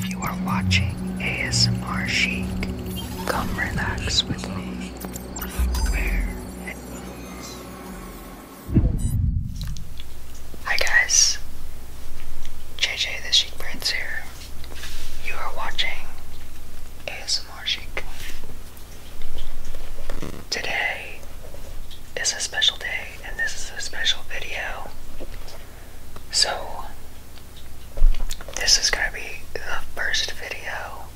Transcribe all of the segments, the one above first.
You are watching ASMR Chic. Come relax with me. Hi guys. JJ the Chic Prince here. You are watching ASMR Chic. Today is a special day and this is a special video. So, this is going to be the first video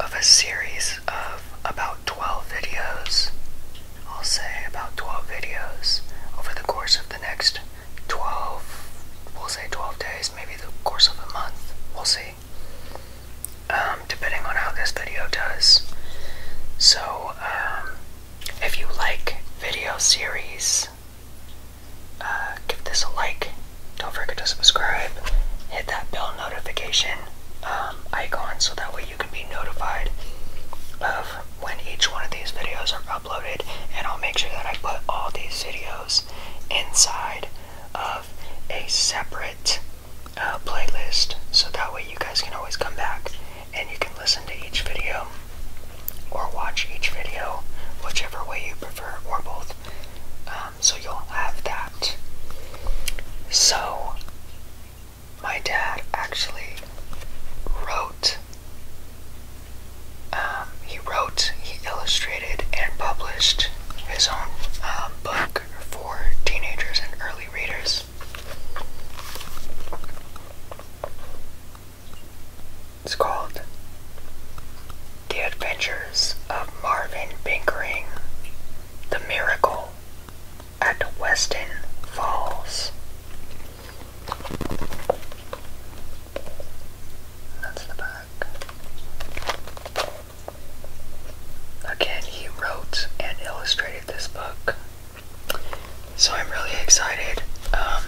of a series of about 12 videos. I'll say about 12 videos over the course of the next 12, we'll say 12 days, maybe the course of a month. We'll see. Um, depending on how this video does. So, um, if you like video series uh, give this a like. Don't forget to subscribe. Hit that bell notification um, icon so that way you can be notified of when each one of these videos are uploaded. And I'll make sure that I put all these videos inside of a separate uh, playlist so that way you guys can always come back and you can listen to each video or watch each video, whichever way you prefer, or both. Um, so you'll have that. So, my dad actually wrote, um, he wrote, he illustrated, and published his own um, book for teenagers and early readers. It's called The Adventures of Marvin Pinkering, The Miracle at Weston Falls. That's the back. Again, he wrote and illustrated this book so I'm really excited. Um,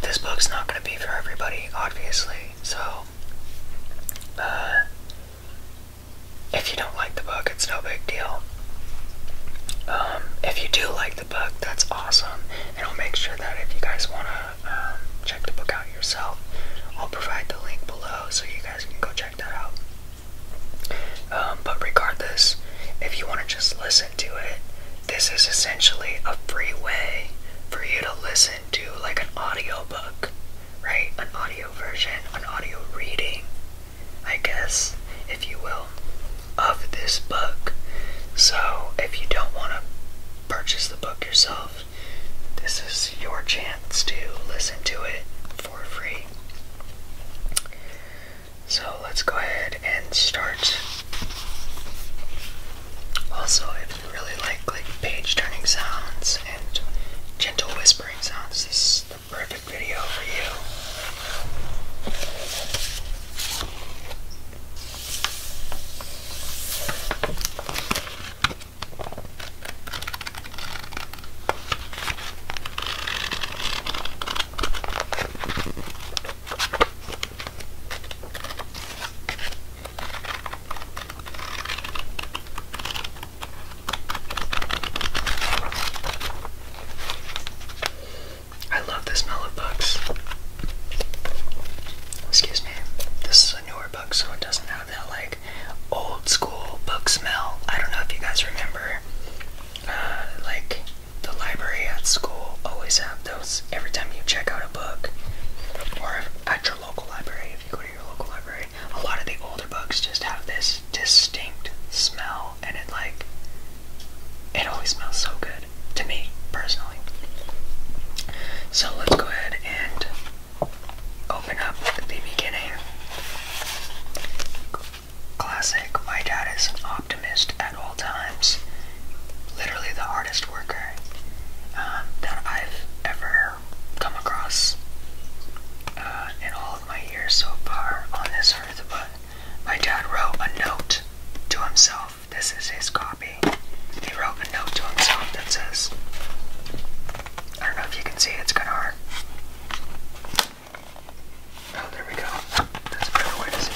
this book's not going to be for everybody, obviously. So, uh, if you don't like the book, it's no big deal. Um, if you do like the book, that's awesome. And I'll make sure that if you guys want to um, check the book out yourself, I'll provide the link below so you guys can go check that out. but regardless, if you want to just listen to it, this is essentially a free way for you to listen to like an audio book, right? An audio version, an audio reading, I guess, if you will, of this book. So if you don't want to purchase the book yourself, this is your chance to listen to it for free. So let's go ahead and start. Also, if you really like like page turning sounds and gentle whispering sounds, this is the perfect video for you. I love the smell of books. Excuse me. This is a newer book, so it doesn't have that like old school book smell. I don't know if you guys remember, uh, like the library at school always have those every time you check out a book or at your local library if you go to your local library a lot of the older books just have this distinct smell and it like it always smells so good to me personally so let's go ahead and open up the beginning Classic, my dad is an optimist at all times. Literally the hardest worker um, that I've ever come across uh, in all of my years so far on this earth. But my dad wrote a note to himself. This is his copy. He wrote a note to himself that says, I don't know if you can see, it's gonna hurt." Oh, there we go. That's a better way to see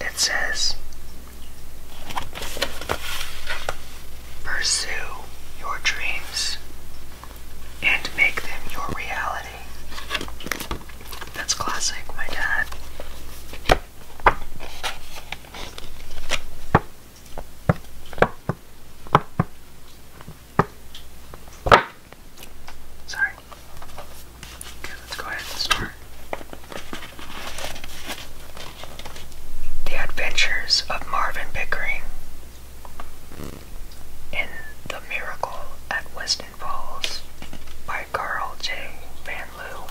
it. It says, Pursue your dreams and make them your reality. That's classic, my dad. Sorry. Okay, let's go ahead and start. The Adventures of Marvin Pickering in The Miracle at Weston Falls by Carl J. Van Loo.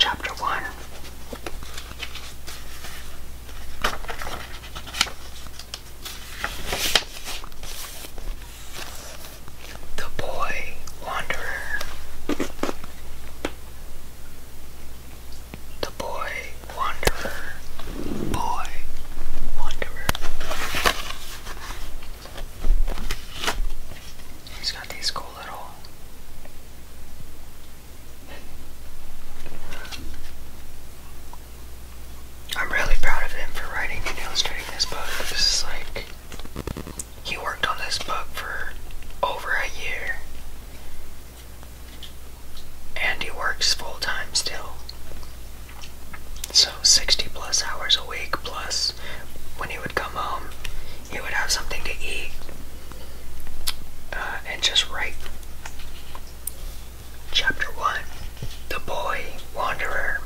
Chapter one. The Boy Wanderer. The Boy Wanderer. Boy Wanderer. He's got these cool little. I'm really proud of him for writing and illustrating this book. This is like he worked on this book for over a year. And he works full time still. So 60 plus hours a week, plus when he would come home, he would have something to eat uh, and just write. Chapter 1 The Boy Wanderer.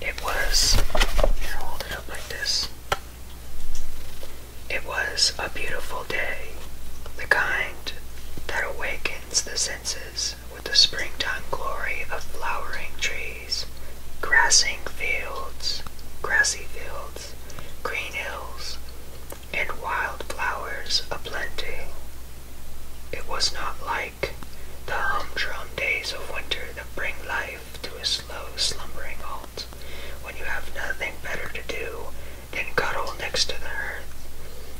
It was, hold it up like this. It was a beautiful day, the kind that awakens the senses with the springtime glory of flowering trees, grassing fields, grassy fields, green hills, and wild flowers aplenty. It was not like like the humdrum days of winter that bring life to a slow, slumbering halt, when you have nothing better to do than cuddle next to the hearth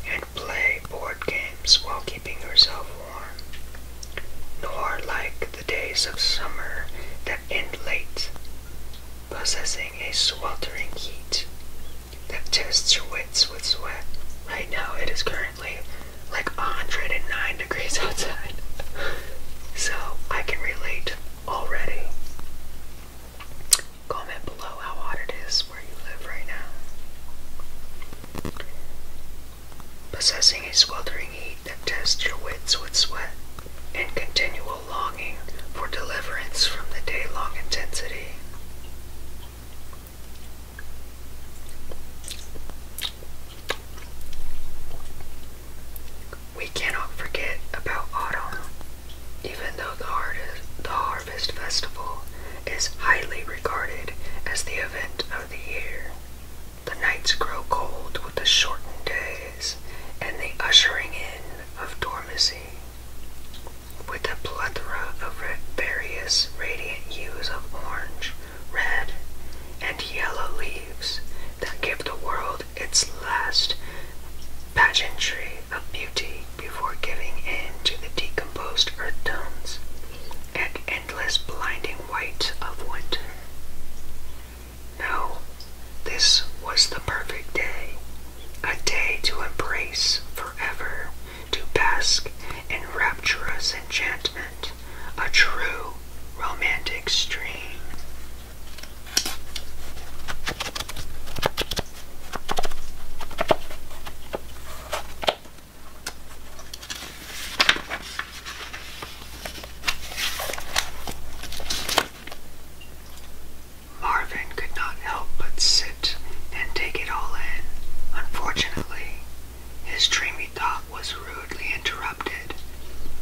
and play board games while keeping yourself warm. Nor like the days of summer that end late, possessing a sweltering heat that tests your wits with sweat. Right now it is current currently like 109 degrees outside. So I can relate already. Comment below how hot it is where you live right now. Possessing a sweltering heat that tests your wits with sweat and continual longing for deliverance from the day long intensity. We cannot forget about autumn, even though the harvest, festival is highly regarded as the event of the year. The nights grow cold with the shortened days and the ushering in of dormancy. With a plethora of various radiant hues of orange, red and yellow leaves that give the world its last pageantry of beauty before giving in to the decomposed earth tones and endless blinding white of winter. No, this was the perfect day, a day to embrace forever, to bask in rapturous enchantment a true romantic stream. Marvin could not help but sit and take it all in. Unfortunately, his dreamy thought was rudely interrupted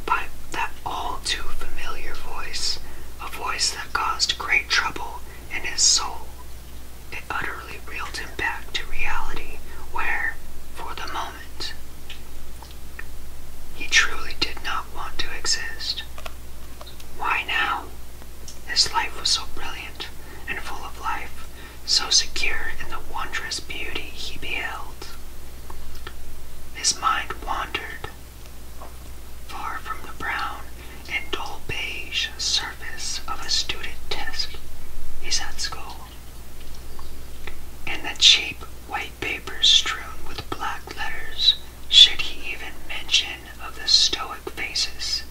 by that all too familiar voice, a voice that caused great trouble in his soul. It utterly reeled him back to reality, where, for the moment, he truly did not want to exist. Why now? His life was so brilliant and full of life, so secure in the wondrous beauty he beheld. His mind wandered far from the brown and dull beige surface of a student test He's at school, and the cheap white papers strewn with black letters should he even mention of the stoic faces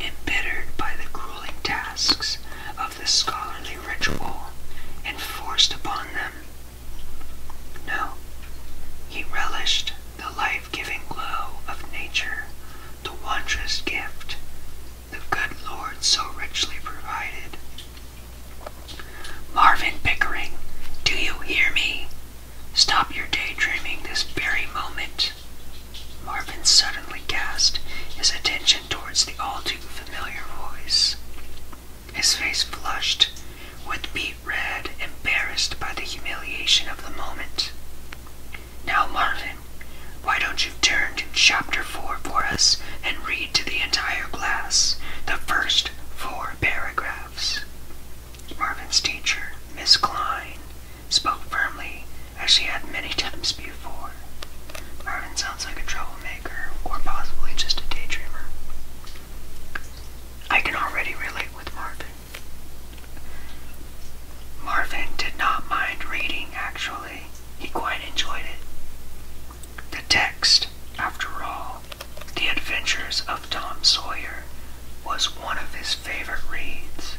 embittered by the grueling tasks of the scholarly ritual enforced upon them. No, he relished the life-giving glow of nature, the wondrous gift the good Lord so richly provided. Marvin Pickering, do you hear me? Stop your daydreaming this very moment. Marvin suddenly cast his attention towards the altar familiar voice. His face flushed, with beet red, embarrassed by the humiliation of the moment. Now, Marvin, why don't you turn to chapter four for us and read to the entire class the first four paragraphs? Marvin's teacher, Miss Klein, spoke firmly Actually, had many times before. Marvin sounds like a troublemaker, or possibly just a daydreamer. I can already relate with Marvin. Marvin did not mind reading, actually. He quite enjoyed it. The text, after all, The Adventures of Tom Sawyer, was one of his favorite reads.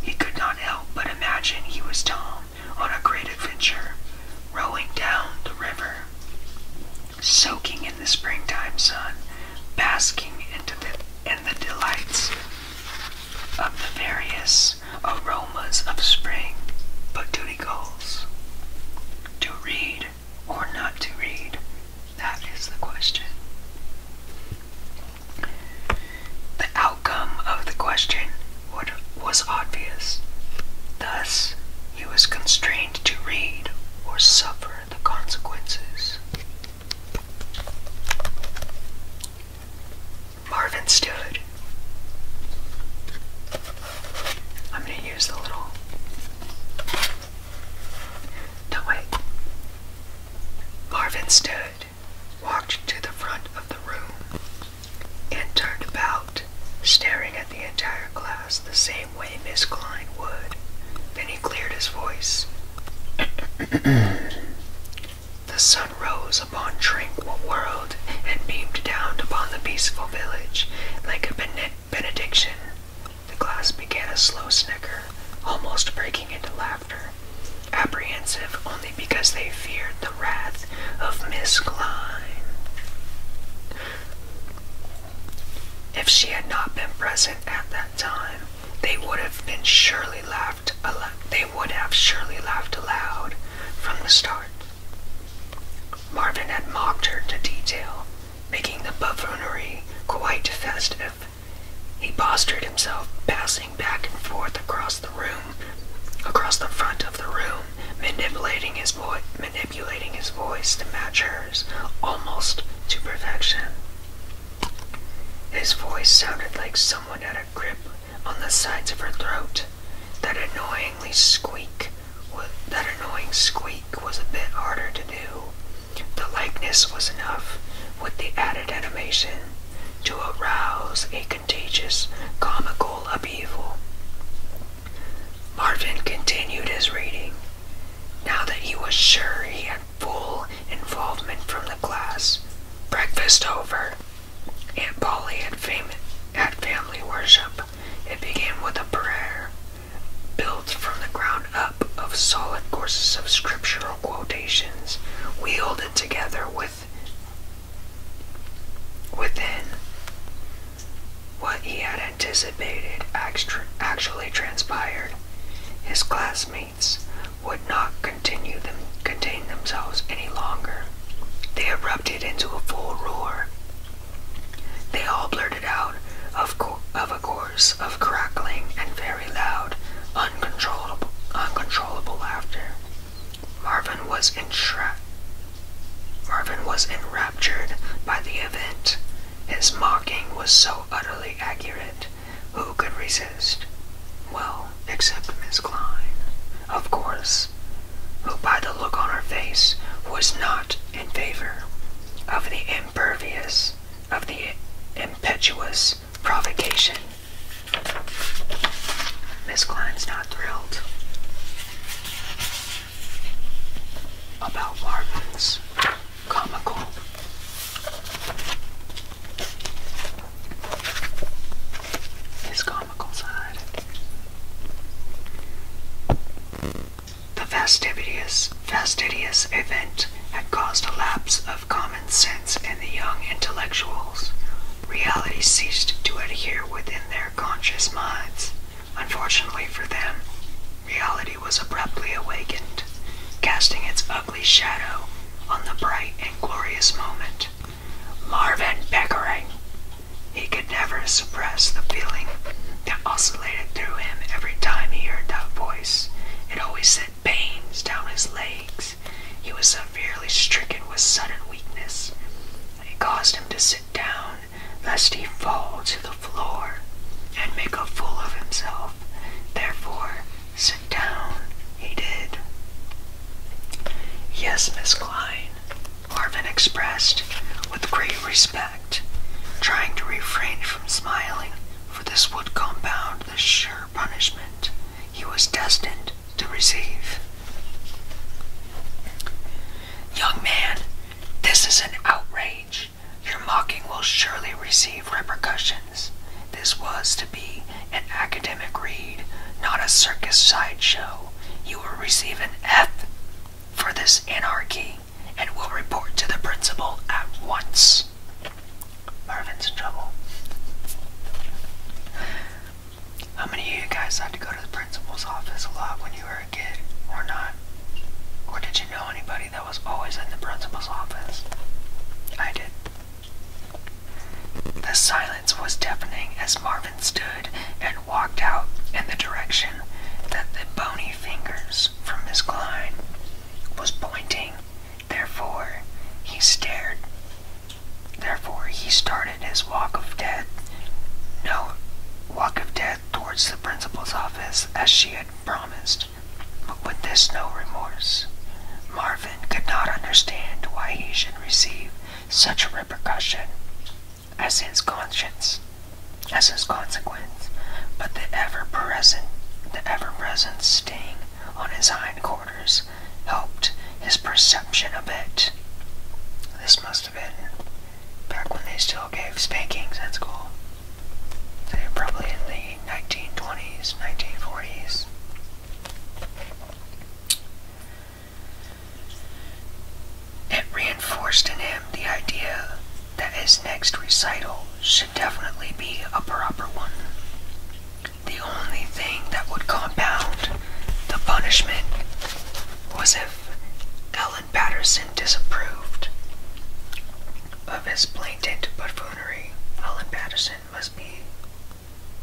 He could not help but imagine he was Tom on a great adventure, rowing down the river, soaking in the springtime sun, basking in the delights of the various aromas of spring, but duty calls. To read or not to read, that is the question. The outcome of the question was obvious. Thus, he was constrained to read or suffer the consequences. Marvin stood. I'm going to use the little. No, wait. Marvin stood walked to the front of the room, and turned about, staring at the entire class the same way Miss Klein would. Then he cleared his voice. the sun rose upon tranquil world and beamed down upon the peaceful village like a benediction. The class began a slow snicker, almost breaking into laughter apprehensive only because they feared the wrath of Miss Klein. If she had not been present at that time, they would have been surely laughed. They would have surely laughed aloud from the start. Marvin had mocked her to detail, making the buffoonery quite festive. He postured himself, passing back and forth across the room, across the front of the room, manipulating his voice, manipulating his voice to match hers, almost to perfection. His voice sounded like someone had a grip on the sides of her throat. That annoyingly squeak, that annoying squeak was a bit harder to do. The likeness was enough, with the added animation, to arouse a contagious comical upheaval. Marvin continued his reading. Now that he was sure he had full involvement from the class, breakfast over, Aunt Polly had, fam had family worship. It began with a prayer built from the ground up of solid courses of scriptural quotations wielded together with within what he had anticipated actually transpired. His classmates would not continue them, contain themselves any longer. They erupted into a full roar. They all blurted out, of, of a course, of crackling and very loud, uncontrollable, uncontrollable laughter. Marvin was entra Marvin was enraptured by the event. His mocking was so utterly accurate. Who could resist? Well, except Miss Klein, of course, who by the look on her face was not in favor of the impervious, of the impetuous provocation Miss Klein's not thrilled about Marvin's comical his comical side. The fastidious fastidious event had caused a lapse of common sense in the young intellectuals reality ceased to adhere within their conscious minds. Unfortunately for them, reality was abruptly awakened, casting its ugly shadow on the bright and glorious moment. Marvin Pickering! He could never suppress the feeling that oscillated through him every time he heard that voice. It always sent pains down his legs he was severely stricken with sudden weakness. It caused him to sit down, lest he fall to the floor and make a fool of himself. Therefore, sit down, he did. Yes, Miss Klein, Marvin expressed with great respect, trying to refrain from smiling, for this would compound the sure punishment he was destined to receive. Young man, this is an outrage. Your mocking will surely receive repercussions. This was to be an academic read, not a circus sideshow. You will receive an F for this anarchy and will report to the principal at once. Marvin's in trouble. How many of you guys had to go to the principal's office a lot when you were a kid, or not? Or did you know anybody that was always in the principal's office? I did. The silence was deafening as Marvin stood and walked out in the direction that the bony fingers from Miss Klein was pointing. Therefore, he stared Therefore, he started his walk of death, no walk of death towards the principal's office as she had promised, but with this no remorse. Marvin could not understand why he should receive such a repercussion as his conscience, as his consequence, but the ever-present, the ever-present sting on his hindquarters helped his perception a bit. This must have been back when they still gave spankings in school. they were probably in the 1920s, 1940s. It reinforced in him the idea that his next recital should definitely be a proper one. The only thing that would compound the punishment was if Ellen Patterson disapproved of his blatant buffoonery. Ellen Patterson must be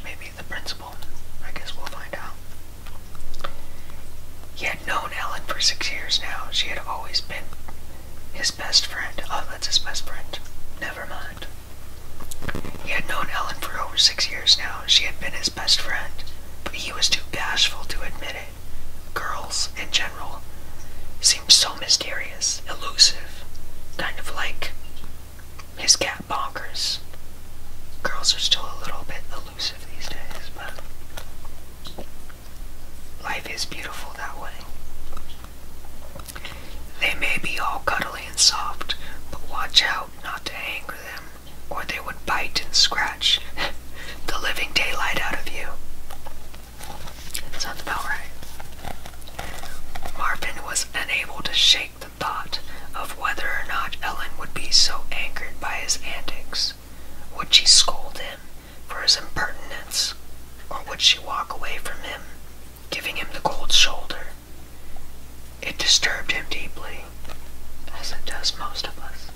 maybe the principal. I guess we'll find out. He had known Ellen for six years now. She had always been his best friend. Oh, that's his best friend. Never mind. He had known Ellen for over six years now. She had been his best friend, but he was too bashful to admit it. Girls, in general, seemed so mysterious, elusive, kind of like his cat bonkers. Girls are still a little bit elusive these days, but life is beautiful that way. They may be all cuddly and soft, but watch out not to anger them, or they would bite and scratch the living daylight out of you. Sounds about right. Marvin was unable to shake the thought of whether or not Ellen would be so angered by his antics. Would she scold him for his impertinence, or would she walk away from him, giving him the cold shoulder? It disturbed him deeply, as it does most of us.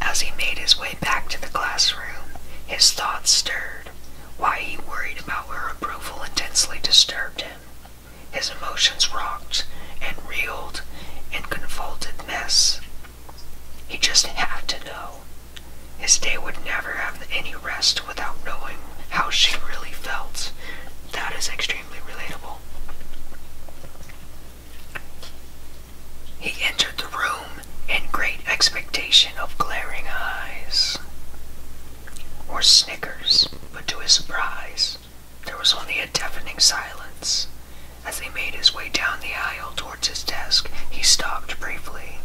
As he made his way back to the classroom, his thoughts stirred. Why he worried about her approval intensely disturbed him. His emotions rocked and reeled in convoluted mess. He just had to know. His day would never have any rest without knowing how she really felt. That is extremely relatable. He entered the room in great expectation of glaring eyes or snickers, but to his surprise, there was only a deafening silence. As he made his way down the aisle towards his desk, he stopped briefly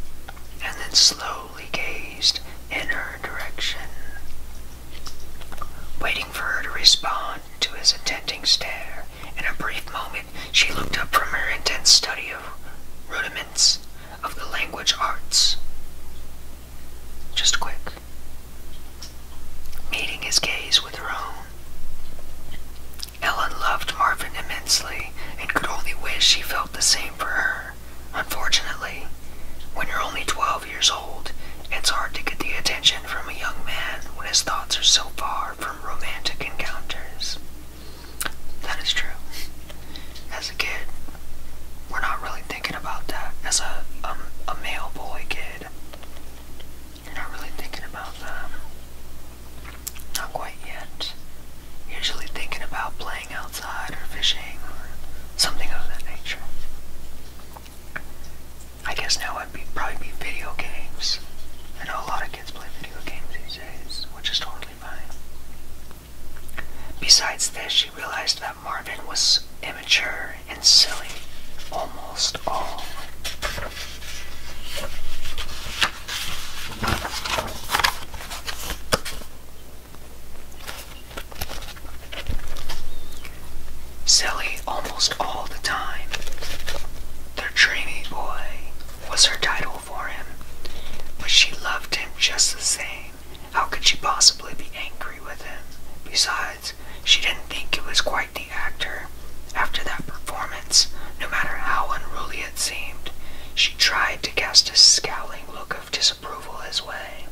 and then slowly he gazed in her direction, waiting for her to respond to his attending stare. In a brief moment, she looked up from her intense study of rudiments of the language arts. Just quick. Meeting his gaze with her own. Ellen loved Marvin immensely and could only wish he felt the same for her. Unfortunately, when you're only 12 years old, it's hard to get the attention from a young man when his thoughts are so far from romantic encounters. That is true. As a kid, we're not really thinking about that. As a, um, a male boy kid, you're not really thinking about that. Not quite yet. Usually thinking about playing outside or fishing or something of that nature. I guess now it'd be, probably be video games. I know a lot of kids play video games these days, which is totally fine. Besides this, she realized that Marvin was immature and silly almost all. Silly almost all the time. Their dreamy boy was her title for him, but she loved him just the same. How could she possibly be angry with him? Besides, she didn't think it was quite the actor. After that performance, no matter how unruly it seemed, she tried to cast a scowling look disapproval his way.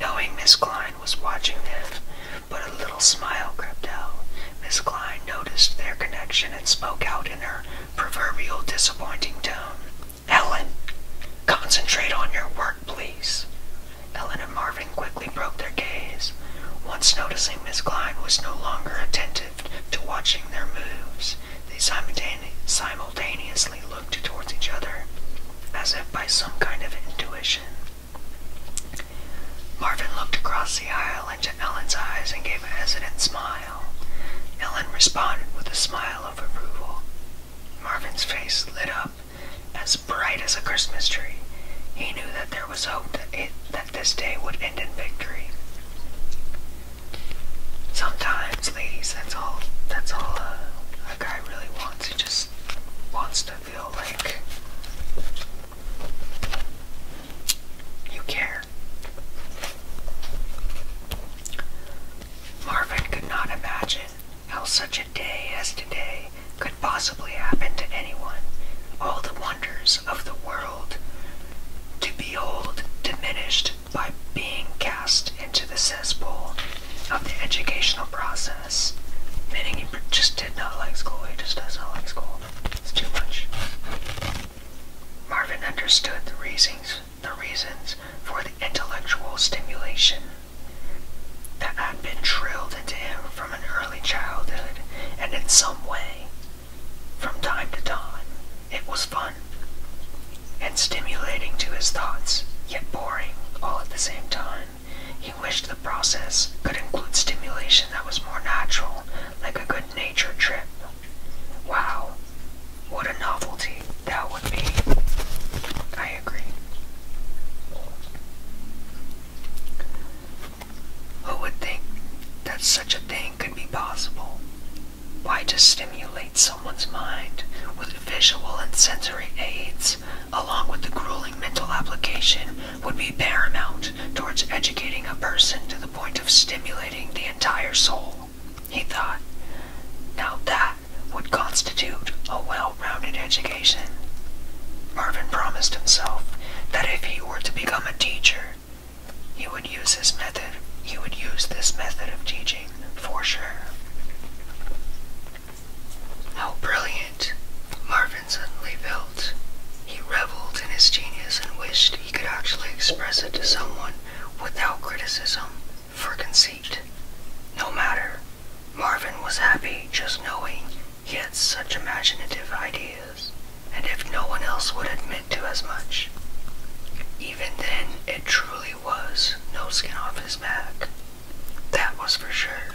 Knowing Miss Klein was watching them, but a little smile crept out. Miss Klein noticed their connection and spoke out in her proverbial disappointing tone. Ellen, concentrate on your work, please. Ellen and Marvin quickly broke their gaze, once noticing Miss Klein was no longer attentive to watching their moves. They simultaneously looked towards each other, as if by some kind of intuition. Marvin looked across the aisle into Ellen's eyes and gave a hesitant smile. Ellen responded with a smile of approval. Marvin's face lit up as bright as a Christmas tree. He knew that there was hope that, this day would end in victory. Sometimes, ladies, that's all. That's all uh, a guy really wants. He just wants to feel like you care. Marvin could not imagine how such a day as today could possibly happen to anyone. All the wonders of the world to behold diminished by being cast into the cesspool of the educational process. Meaning he just did not like school, he just does not like school. It's too much. Marvin understood the reasons the reasons for the intellectual stimulation that had been drilled into him from an early childhood and in some way, from time to time, it was fun and stimulating to his thoughts, yet boring all at the same time. He wished the process could include stimulation that was more natural, like a good nature trip. Wow, what a novelty that would be. I agree. Who would think that such a thing could be possible? Why to stimulate someone's mind with visual and sensory aids, along with the grueling mental application, would be paramount towards educating a person to the point of stimulating the entire soul, he thought. Now that would constitute a well-rounded education. Marvin promised himself that if he were to become a teacher, he would use this method. He would use this method of teaching for sure. How brilliant Marvin suddenly felt. He reveled in his genius and wished he could actually express it to someone without criticism for conceit. No matter, Marvin was happy just knowing he had such imaginative ideas, and if no one else would admit to as much. Even then, it truly was no skin off his back. That was for sure.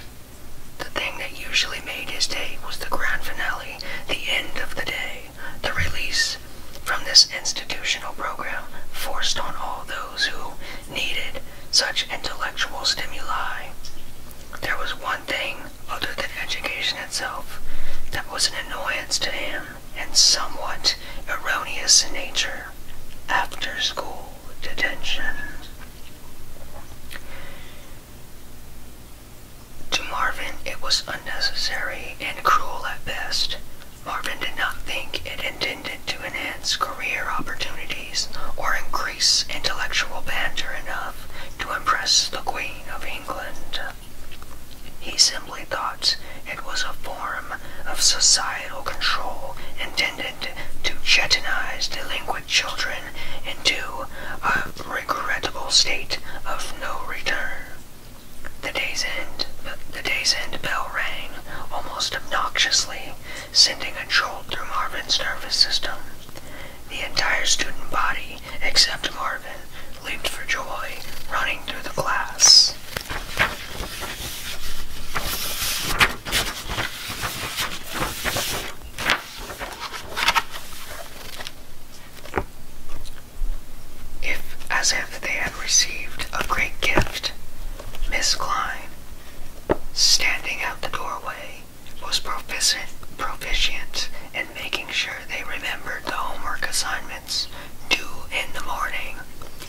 The thing that usually made his day was the grand finale, the end of the day, the release from this institutional program forced on all those who needed such intellectual stimuli. There was one thing other than education itself that was an annoyance to him and somewhat erroneous in nature after school detention. To Marvin, it was unnecessary and cruel at best. Marvin did not think it intended to enhance career opportunities or increase intellectual banter enough to impress the Queen of England. He simply thought it was a form of societal control intended to jetonize delinquent children into a regrettable state of no return. The day's end, the day's end bell rang almost obnoxiously, sending a jolt through Marvin's nervous system. The entire student body, except Marvin, leaped for joy, running through the class. If, as if they had received a great gift, Miss Klein, standing out the doorway, was proficient, proficient in making sure they remembered the homework assignment movements, due in the morning.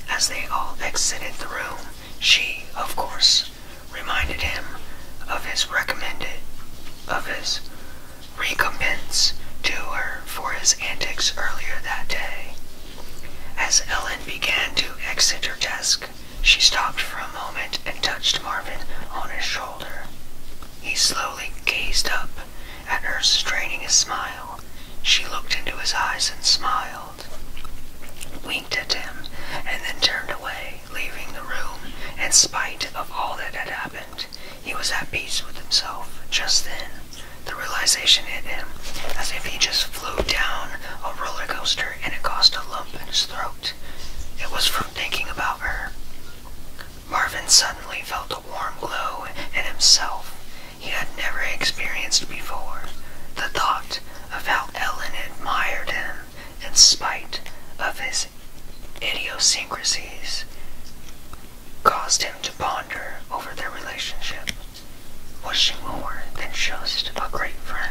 As they all exited the room, she, of course, reminded him of his recommended of his recompense to her for his antics earlier that day. As Ellen began to exit her desk, she stopped for a moment and touched Marvin on his shoulder. He slowly gazed up at her, straining a smile. She looked into his eyes and smiled winked at him, and then turned away, leaving the room. In spite of all that had happened, he was at peace with himself. Just then, the realization hit him, as if he just flew down a roller coaster and it caused a lump in his throat. It was from thinking about her. Marvin suddenly felt a warm glow in himself he had never experienced before. The thought of how Ellen admired him in spite of his idiosyncrasies caused him to ponder over their relationship. Was she more than just a great friend?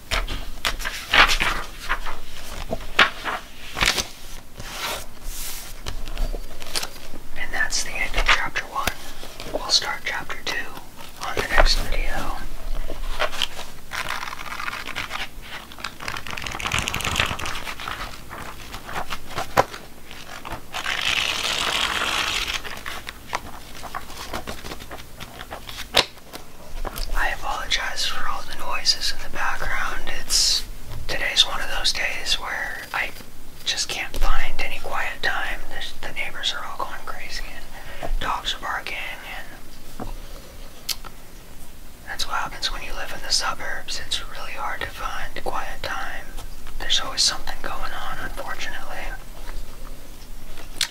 And that's the end of chapter one. We'll start chapter two on the next video. I apologize for all the noises in the background. It's today's one of those days where I just can't find any quiet time. The, neighbors are all going crazy and dogs are barking and that's what happens when you live in the suburbs. It's really hard to find quiet time. There's always something going on, unfortunately.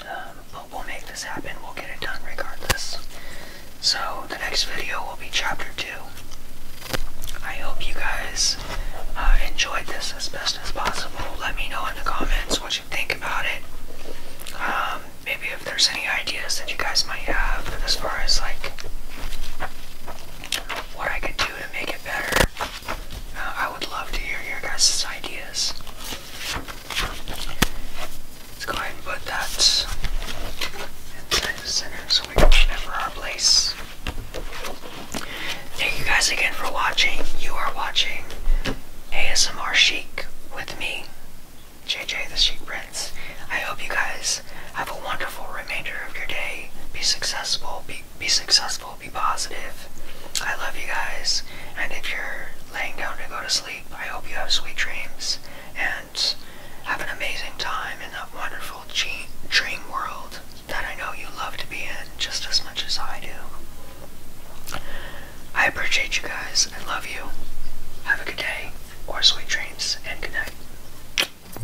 Um, but we'll make this happen. We'll get it done regardless. So the next video will be chapter two. I hope you guys uh, enjoyed this as best as possible. Let me know in the comments what you think about it. Um, maybe if there's any ideas that you guys might have as far as like what I could do to make it better. Uh, I would love to hear your guys' ideas. Let's go ahead and put that inside the center so we remember our place. Thank you guys again for watching. You are watching ASMR Chic with me, JJ the Chic Prince. I hope you guys have a wonderful remainder of your day. Be successful. Be, be successful. Be positive. I love you guys. And if you're laying down to go to sleep, I hope you have sweet dreams and have an amazing time in that wonderful dream world that I know you love to be in just as much as I do. I appreciate you guys and love you. Have a good day or sweet dreams and good night.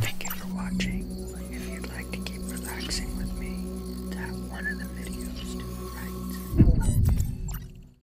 Thank you for watching. If you'd like to keep relaxing with me, tap one of the videos to the